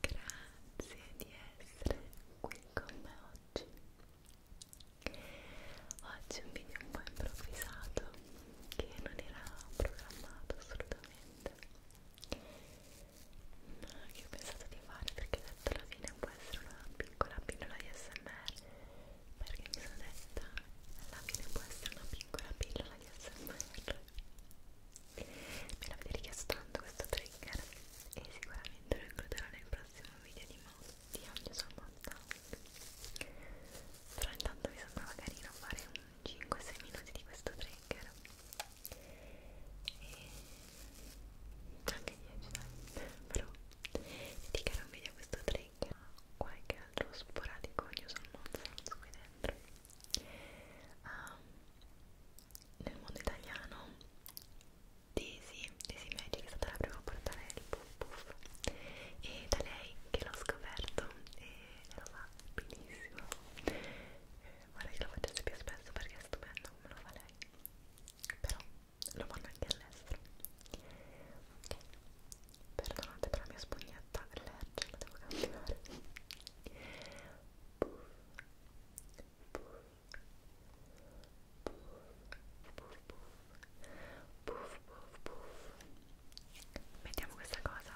Grazie di essere qui con me oggi. Oggi è un video un po' improvvisato che non era programmato assolutamente, ma che ho pensato di fare perché detto alla fine può essere una piccola pillola di SMR, perché mi sono detta alla fine può essere una piccola pillola di SMR me l'avete richiesto tanto questo trigger e sicuramente lo includerò nel prossimo video di, di ogni suo montaggio però intanto mi sembrava carino fare un 5-6 minuti di questo trigger e anche 10 dai però dedicherò un video a questo trigger qualche altro sporadico io sono un qui dentro um, nel mondo italiano Daisy, Daisy Magic è stata la prima a portare il puff puff e da lei che l'ho scoperto e lo fa benissimo eh, vorrei che lo facesse più spesso perché è stupendo come lo fa lei però lo fanno anche all'estero ok perdonate per la mia spugnetta allergica la devo cambiare puff puff puff mettiamo questa cosa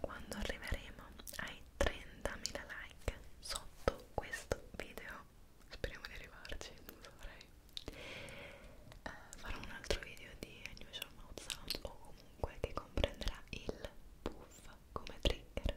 quando arriveremo ai 30.000 like sotto questo video speriamo di arrivarci non saprei eh, farò un altro video di unusual mouth sounds o comunque che comprenderà il puff come trigger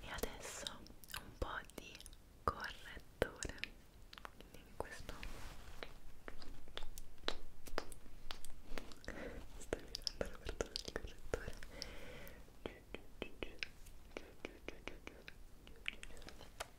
e adesso un po' di correttore quindi questo sto mirando la apertura del correttore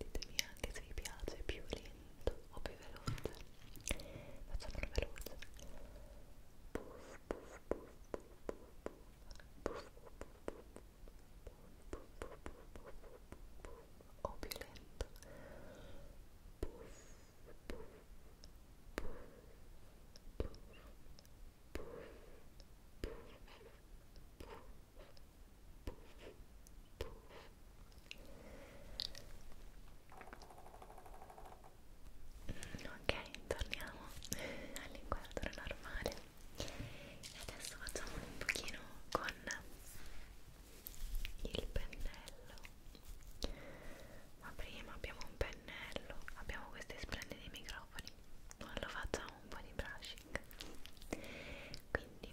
ditemi anche se vi piace più lento Ok, torniamo all'inquadro normale e adesso facciamo un pochino con il pennello. Ma prima abbiamo un pennello, abbiamo questi splendidi microfoni. Non lo facciamo un po' di brushing. Quindi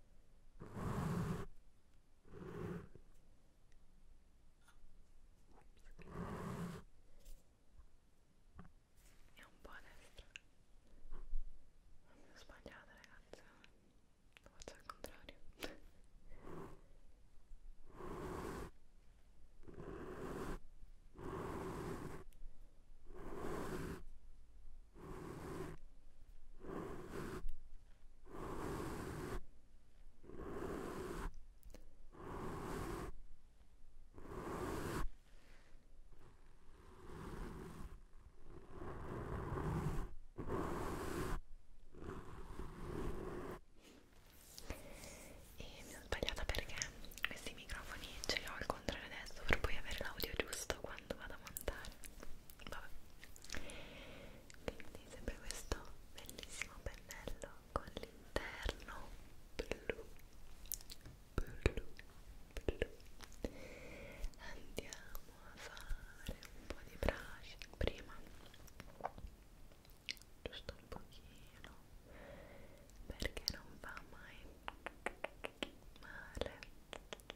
e un po' a destra ho sbagliato ragazzi lo faccio al contrario e mi ho sbagliata perché questi microfoni ce li ho al contrario adesso per poi avere l'audio giusto quando vado a montare vabbè quindi sempre questo bellissimo pennello con l'interno blu blu blu andiamo a fare un po' di brushing prima giusto un pochino perché non va mai male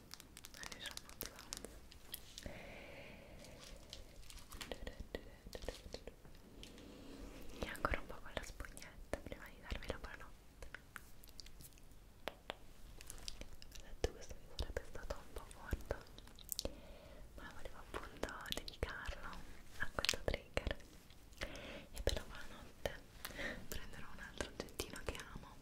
adesso e ancora un po' con la spugnetta prima di darmi la buonanotte ho detto questo mi sarebbe stato un po' corto ma volevo appunto dedicarlo a questo trigger e per la buonanotte prenderò un altro oggettino che amo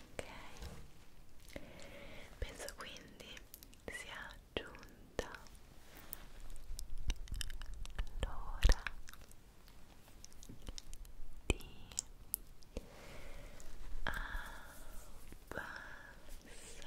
ok penso quindi sia giunta l'ora di abbassare le luci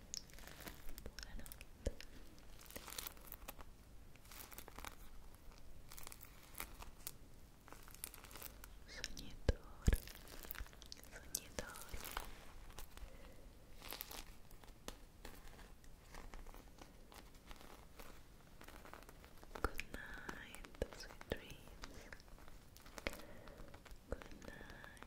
Sognatore, sognatore. Good night, sweet dreams. Good night,